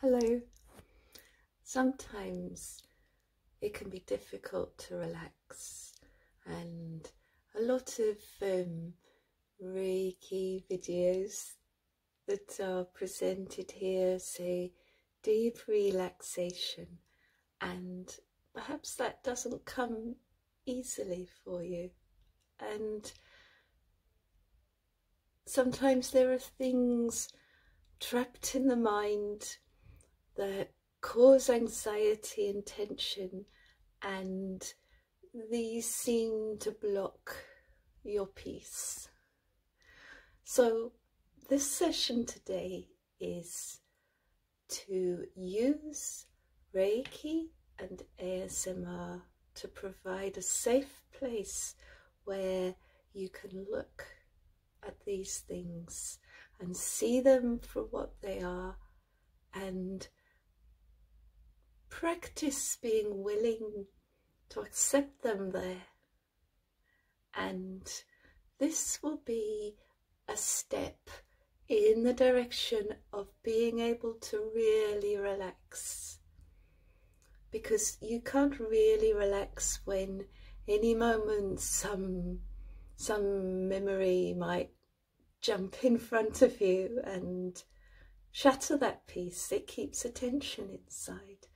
Hello. Sometimes it can be difficult to relax, and a lot of um, Reiki videos that are presented here say deep relaxation, and perhaps that doesn't come easily for you. And sometimes there are things trapped in the mind that cause anxiety and tension and these seem to block your peace. So this session today is to use Reiki and ASMR to provide a safe place where you can look at these things and see them for what they are and practice being willing to accept them there. And this will be a step in the direction of being able to really relax because you can't really relax when any moment some some memory might jump in front of you and shatter that peace. it keeps attention inside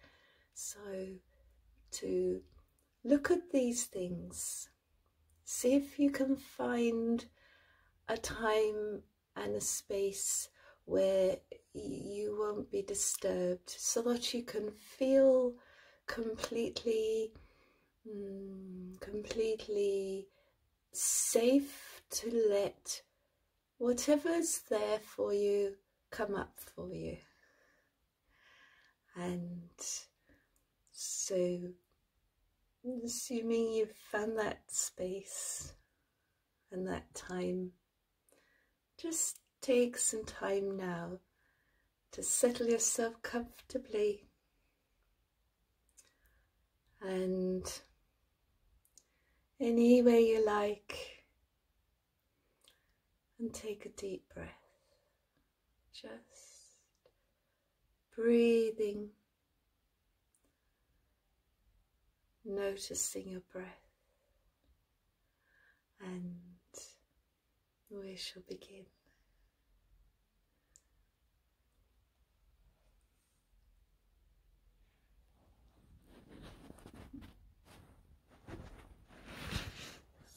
so to look at these things see if you can find a time and a space where you won't be disturbed so that you can feel completely mm, completely safe to let whatever's there for you come up for you and so assuming you've found that space and that time just Take some time now to settle yourself comfortably and any way you like and take a deep breath just breathing noticing your breath and we shall begin.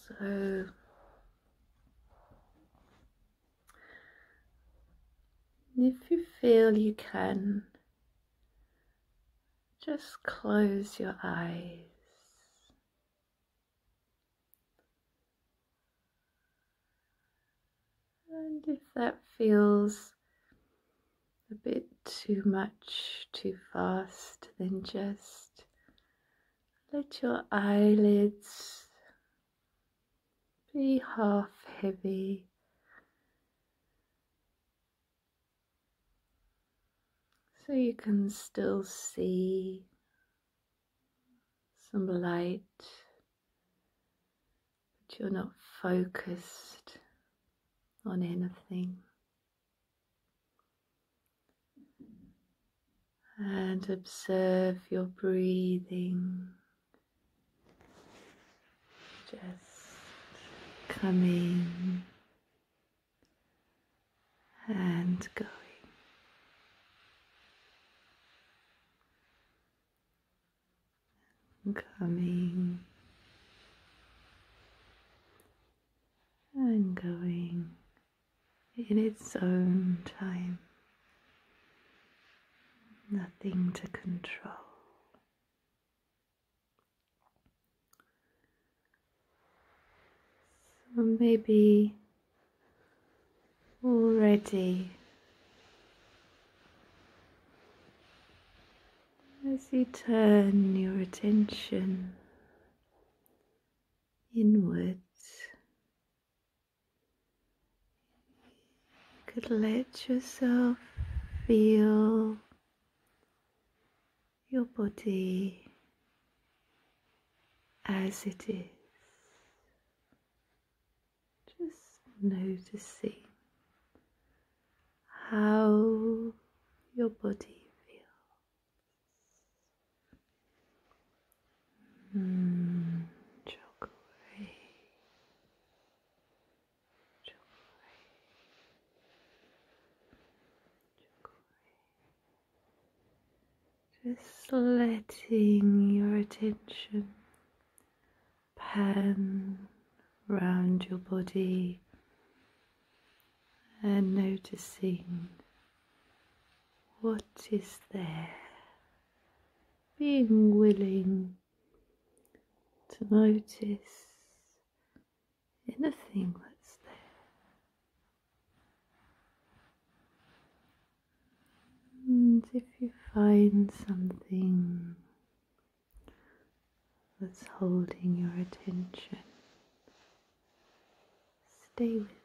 So if you feel you can just close your eyes. And if that feels a bit too much, too fast, then just let your eyelids be half heavy so you can still see some light, but you're not focused on anything. And observe your breathing just coming and going. coming and going in its own time, nothing to control, so maybe already as you turn your attention inwards, you could let yourself feel your body as it is, just know to see how your body feels. Mm, jog away, jog away, just letting your attention pan round your body and noticing what is there, being willing to notice anything that's there. And if you find something that's holding your attention, stay with it.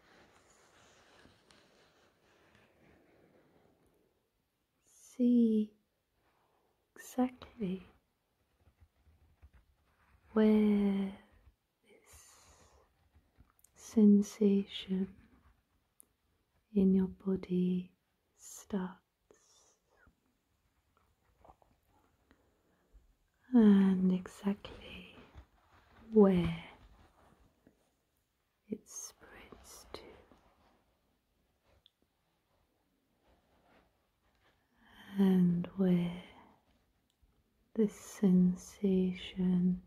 See exactly where this sensation in your body starts. And exactly where it spreads to and where the sensation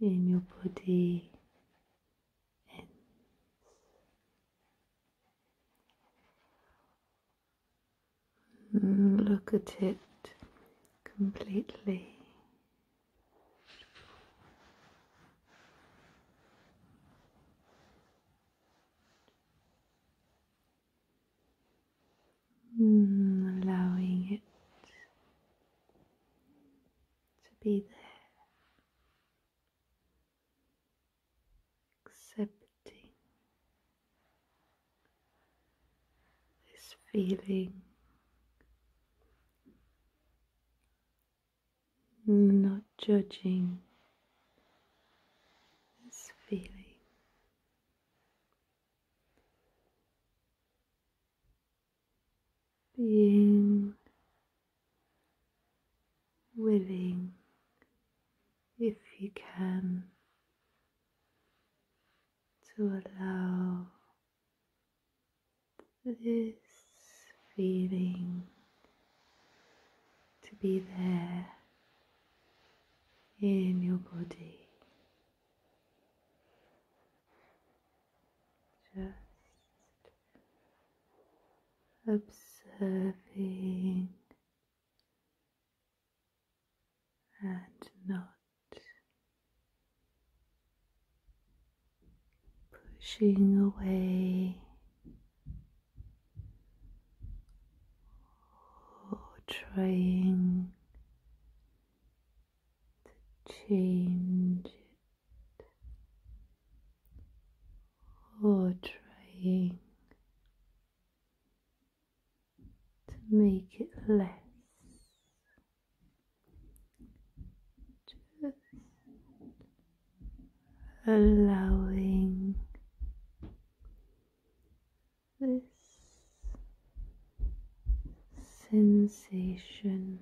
in your body ends. look at it completely. Mm, allowing it to be there, accepting this feeling, not judging this feeling. Being willing, if you can, to allow this feeling to be there in your body. Just observing and not pushing away or trying to change it, or trying to make it less. Just allowing this sensation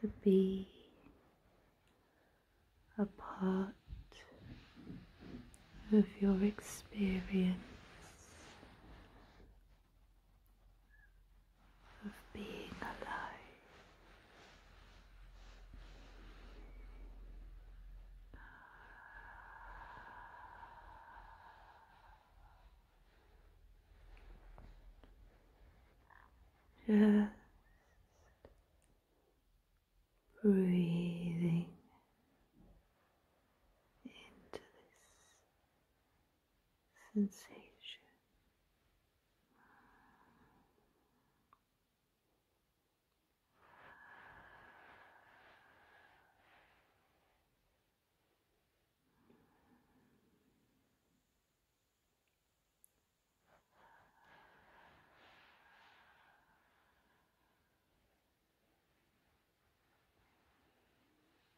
to be a part of your experience of being alive. Just breathing into this sensation.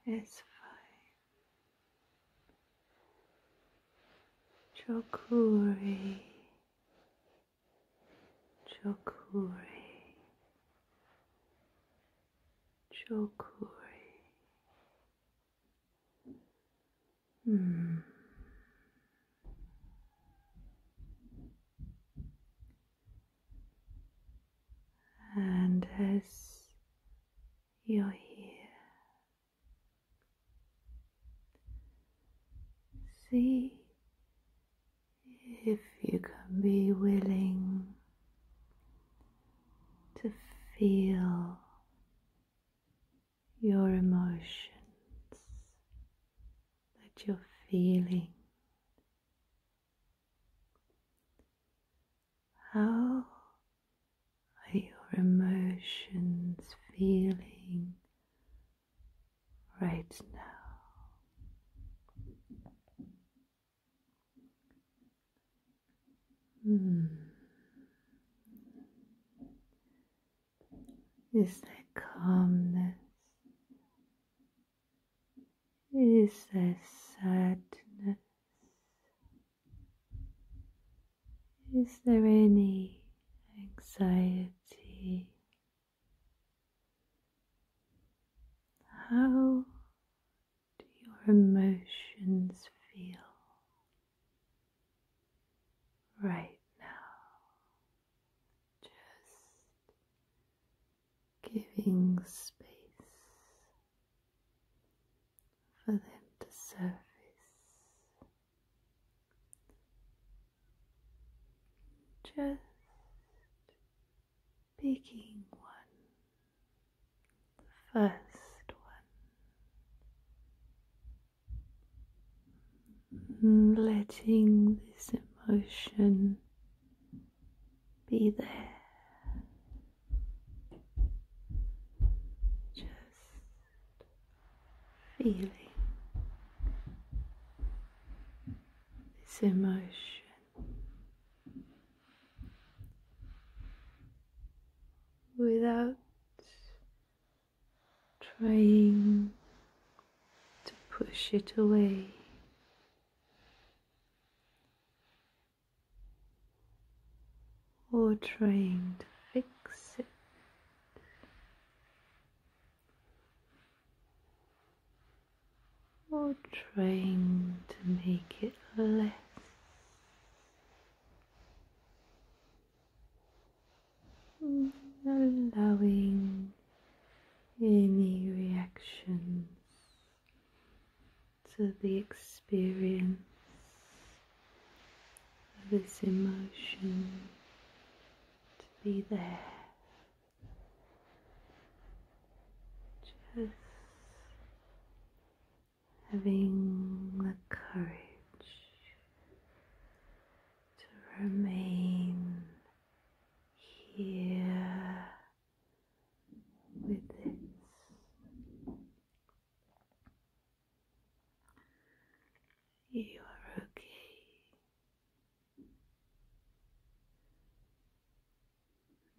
It's fine. Chokuri Chokuri, Chokuri. Hmm. And as you're here, see if you can be willing to feel your emotions that you're feeling. How are your emotions feeling right now. Hmm. Is there calmness? Is there sadness? Is there any anxiety how do your emotions feel right now? Just giving space for them to surface. Just picking one, the first one, mm, letting this emotion be there. Just feeling this emotion. Without trying to push it away. or trying to fix it or trying to make it less allowing any reactions to the experience of this emotion to be there. Just having the courage to remain here with this. You are okay.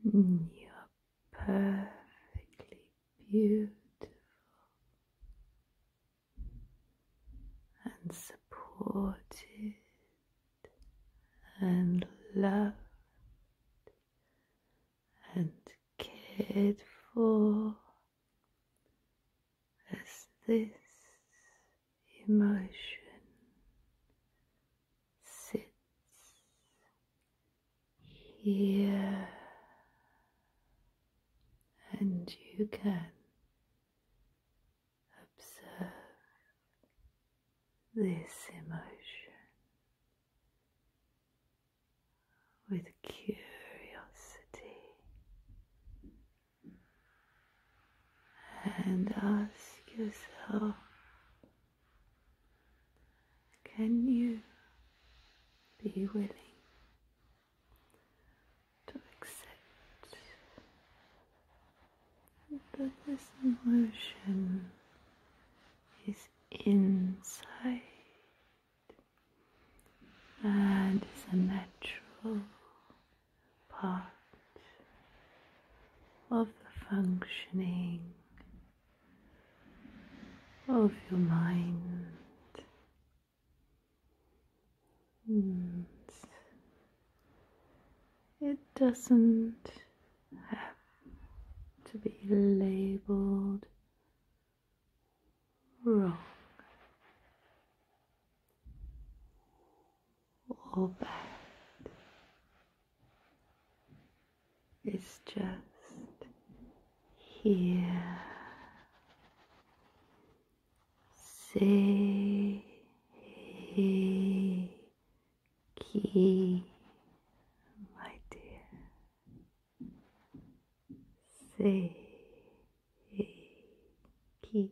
You are perfectly beautiful and supported and loved and cared for as this emotion sits here, and you can observe this emotion with curiosity and ask yourself can you be willing to accept that this emotion is inside and is a natural part of the functioning of your mind. Hmm. it doesn't have to be labeled wrong. All bad. It's just here. Say key, my dear. Say key.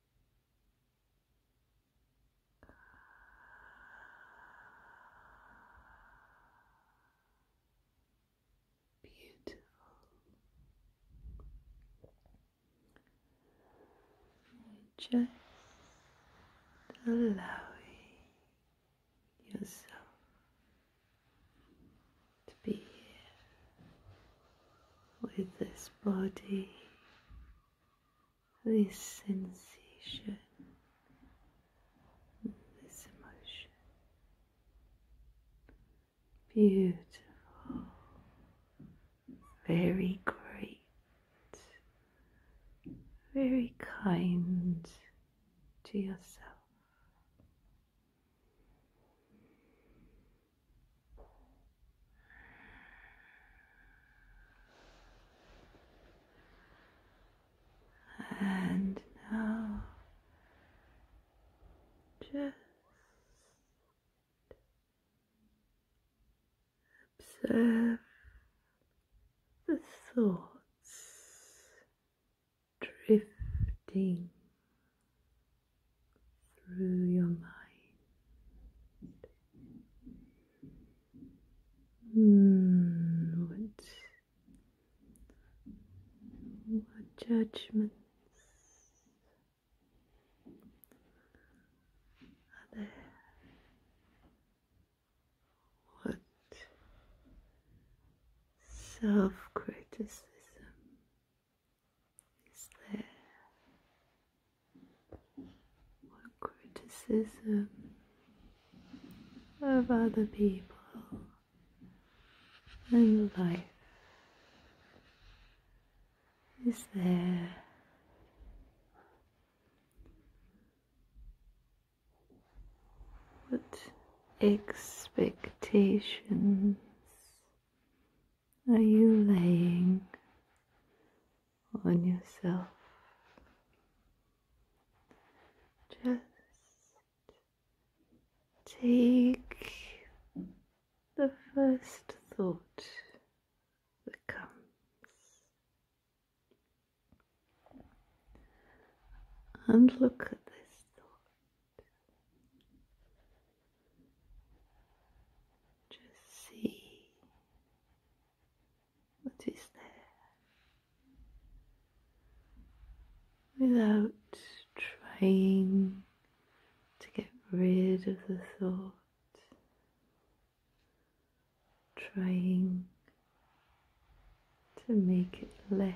Beautiful. Just allowing yourself to be here with this body, this sensation, this emotion. Beautiful, very great, very kind to yourself. And now just observe the thoughts drifting through your mind. Hmm, what, what judgments are there? What self criticism is there criticism of other people and life? Is there what expectations are you laying on yourself? Just take the first thought that comes and look at this thought just see what is there without trying to get rid of the thought, trying to make it less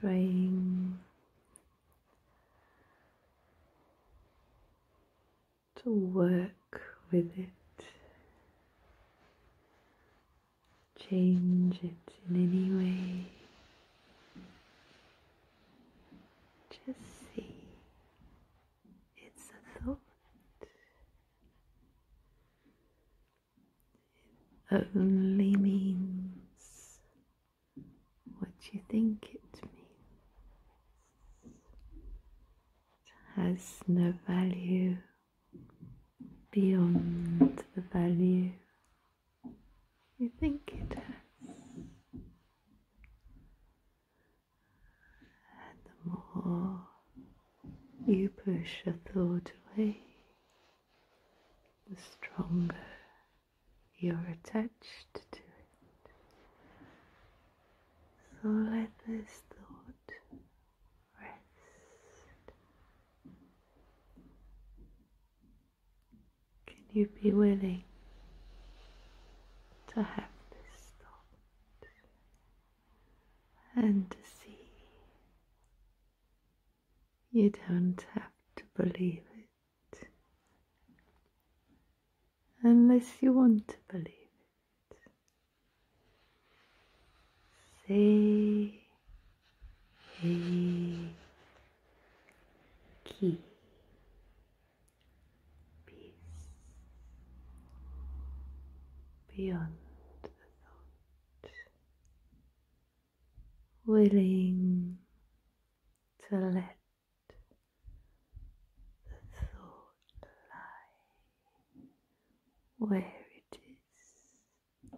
trying to work with it, change it in any way. Just see, it's a thought. It only means what do you think it means? It has no value beyond the value you think it has. And the more you push a thought away, the stronger you're attached to it. So let this thought rest. Can you be willing to have this thought and to see you don't have to believe it? it unless you want to believe it. Say, hey, key. Peace beyond the thought willing to let the thought lie where it is,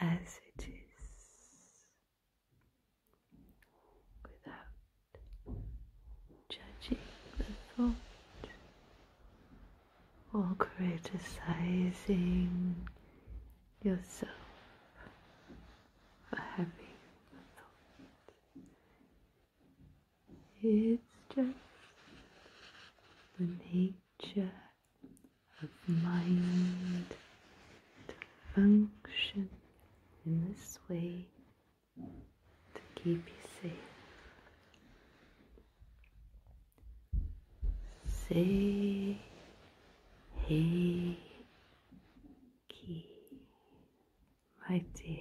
as it is, without judging the thought or criticizing yourself for having the thought. It's just the nature of mind to function in this way to keep you safe. Say Hiki, my dear,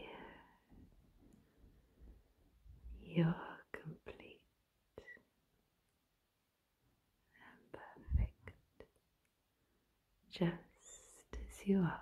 you're complete and perfect, just as you are.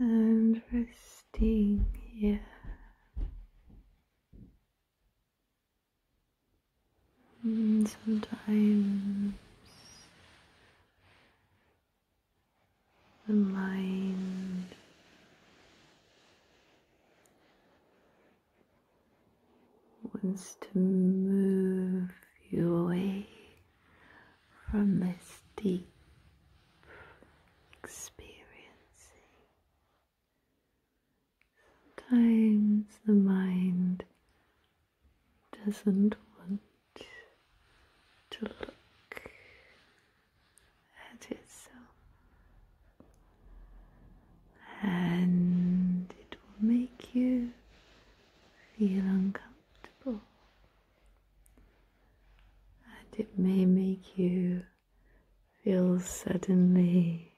Interesting, yeah. sometimes the mind wants to move you away from this deep experiencing. Sometimes the mind doesn't want to look at itself, and it will make you feel uncomfortable and it may make you feel suddenly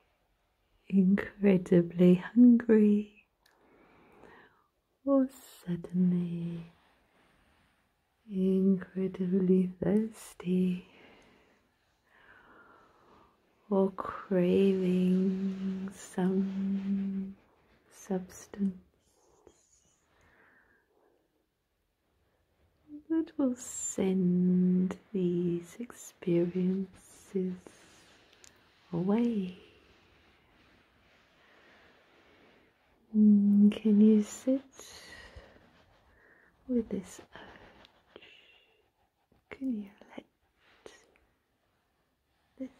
incredibly hungry or suddenly incredibly thirsty or craving some substance that will send these experiences away. Mm, can you sit with this Can you let this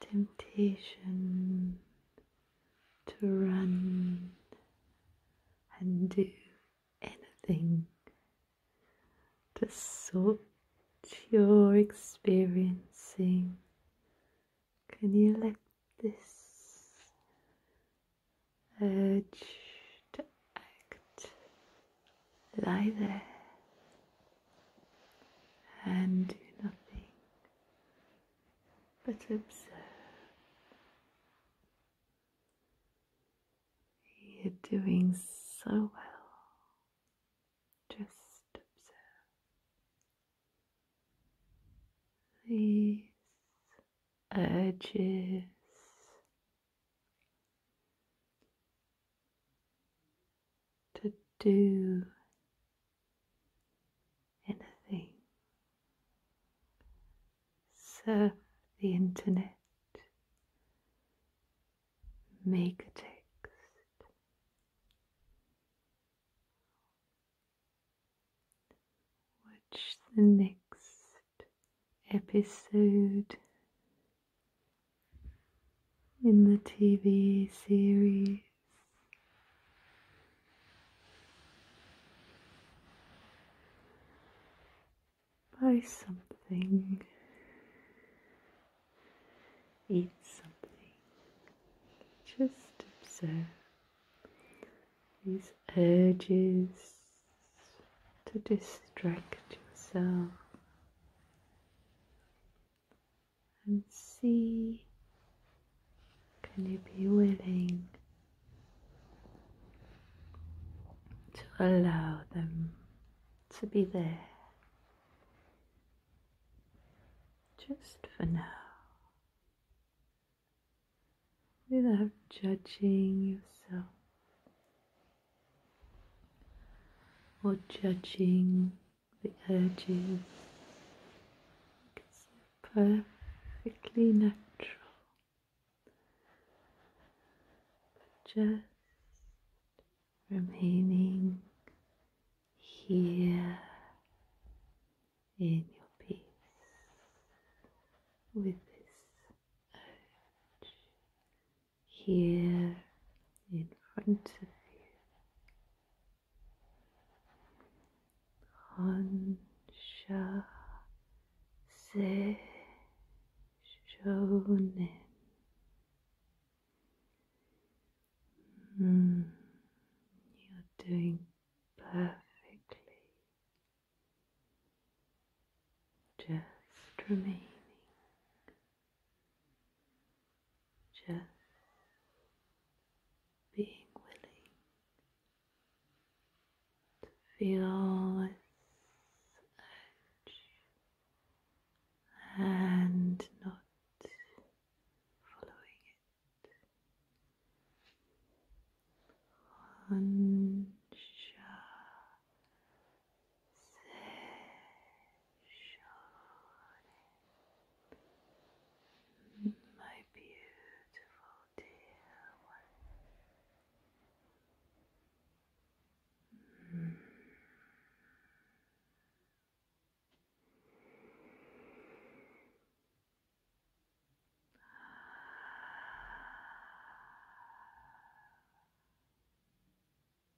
temptation to run and do anything to sort your experiencing. Can you let this urge to act lie there and do nothing but observe. You're doing so well. Just observe these edges to do anything. Surf the internet, make a text, watch the next episode in the TV series. Buy something, eat something, just observe these urges to distract yourself and see can you be willing to allow them to be there just for now without judging yourself or judging the edges. It's perfectly natural. just remaining here in your peace with this urge here in front of you Hansha se hmm, you're doing perfectly. Just remaining just being willing to feel its edge and not following it. One, Shawnee, my beautiful dear one.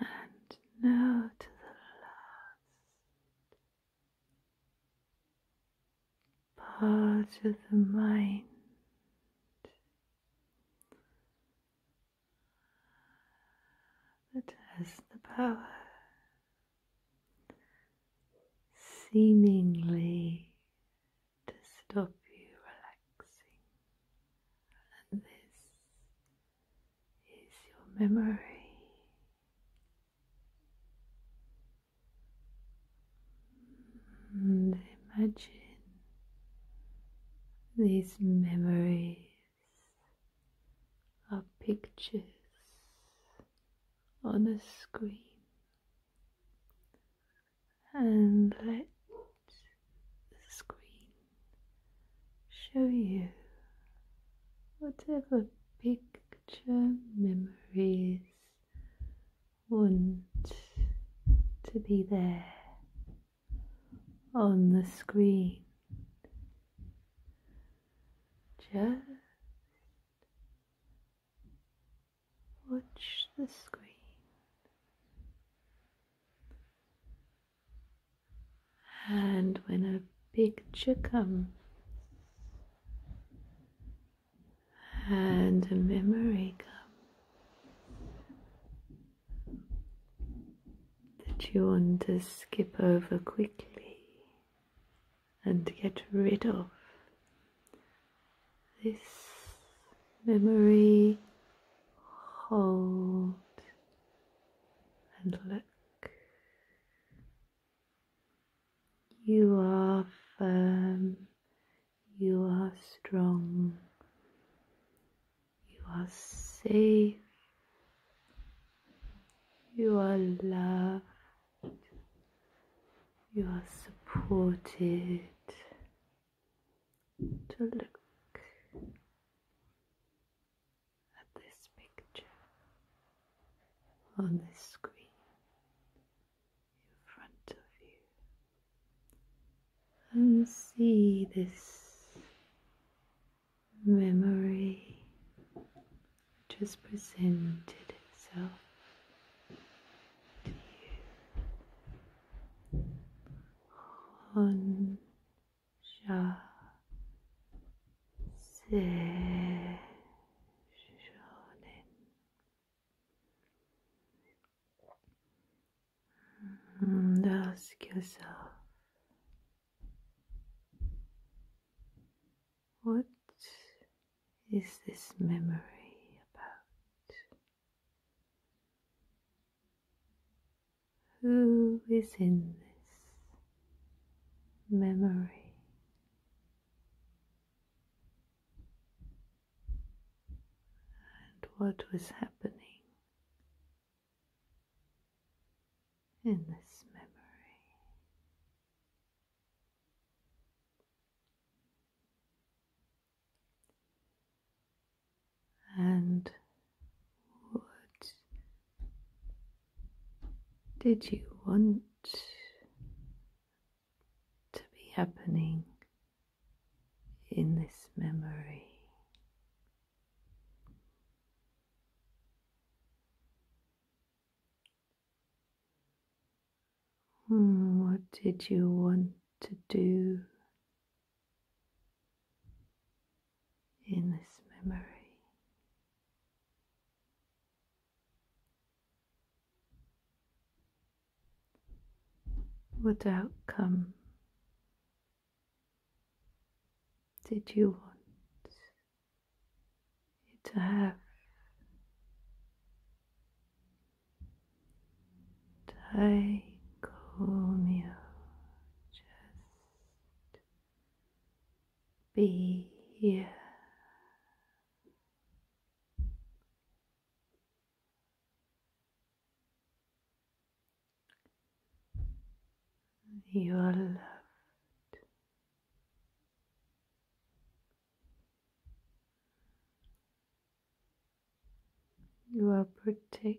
and now to the last part of the mind. That has the power seemingly to stop you relaxing is your memory. And imagine these memories are pictures on a screen and let the screen show you whatever picture memories want to be there on the screen. Just watch the screen. And when a picture comes and a memory comes that you want to skip over quickly and get rid of, this memory hold and look. You are firm, you are strong, you are safe, you are loved, you are supported. To look at this picture on this screen in front of you and see this memory just presented itself to you on ask yourself, what is this memory about? who is in this memory. And what was happening in this memory? and what did you want to be happening in this memory? Hmm, what did you want to do in this memory. What outcome did you want it to have? Taiko just be here. You are loved. You are protected.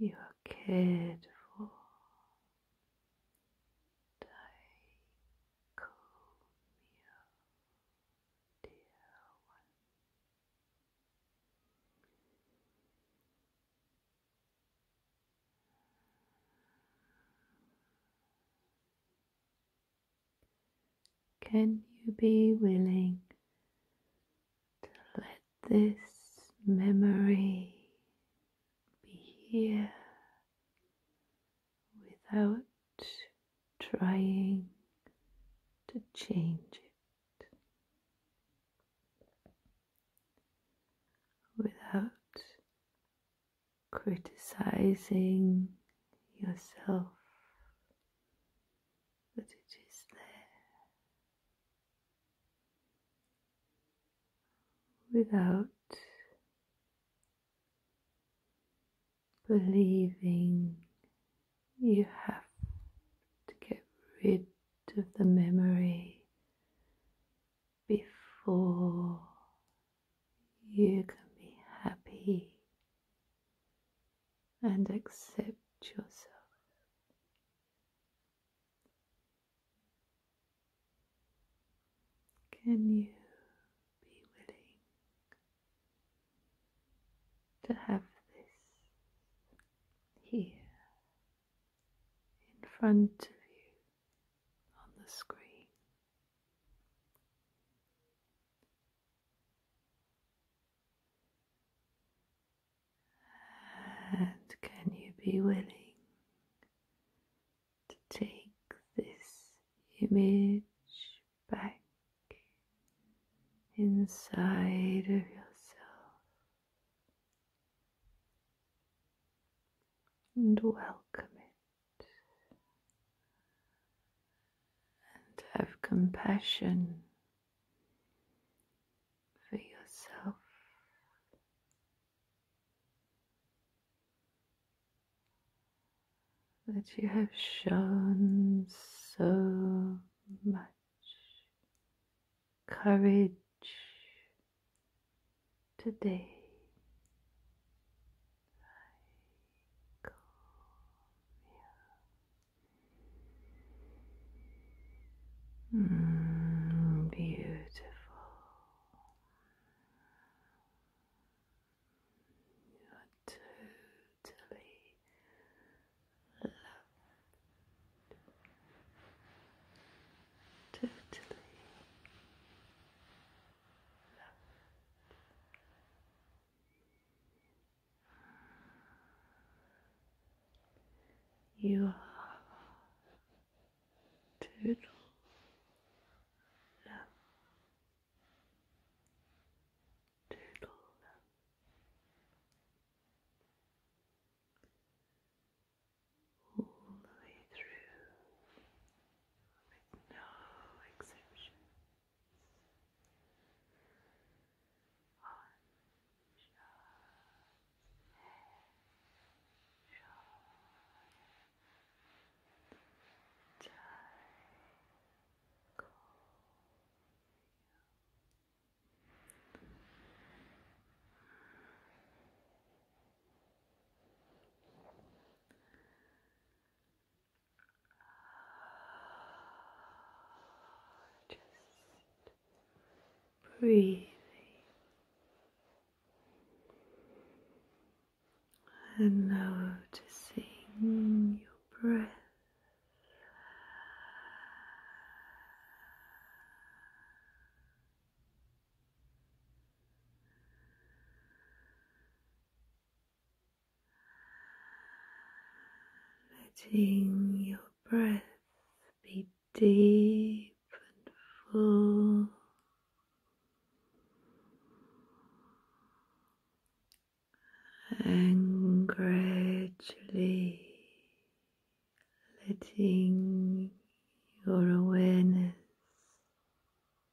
You are cared for. Take dear one. Can you be willing to let this memory be here without trying to change it, without criticizing yourself, but it is there without believing you have to get rid of the memory before you can be happy and accept yourself. Can you be willing to have this here in front of you on the screen? And can you be willing to take this image back inside of yourself and welcome it? and have compassion for yourself. That you have shown so much courage today Mm, beautiful. You are totally loved, totally you are total love, All the way through with no exceptions. Just breathing and noticing your breath letting your breath be deep and full. And gradually letting your awareness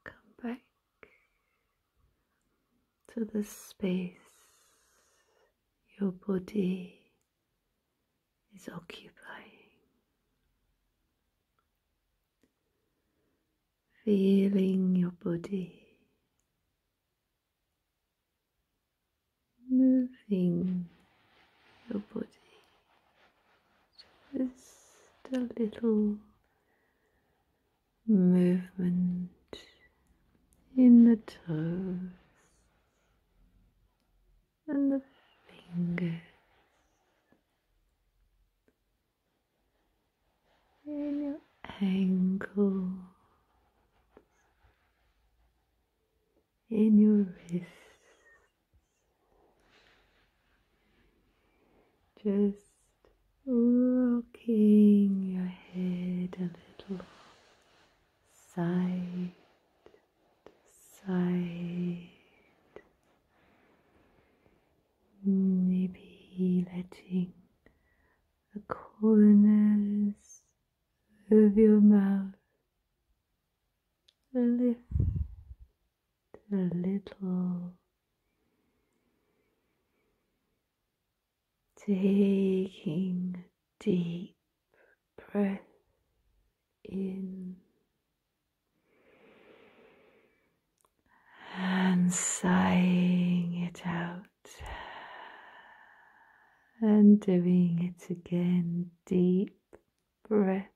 come back to the space your body is occupying, feeling your body. Moving your body just a little movement in the toes and the fingers. In your ankle, in your wrist just rocking your head a little side to side. Maybe letting the corners of your mouth lift a little taking deep breath in and sighing it out and doing it again deep breath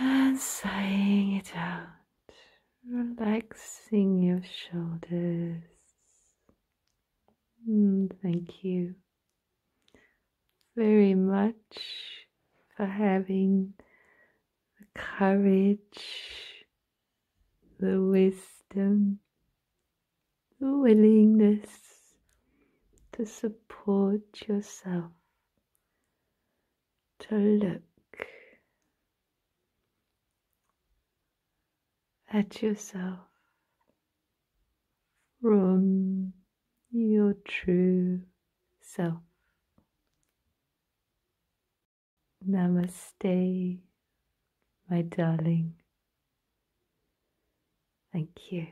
and sighing it out, relaxing your shoulders. Mm, thank you very much for having the courage, the wisdom, the willingness to support yourself to look at yourself from your true self. Namaste, my darling. Thank you.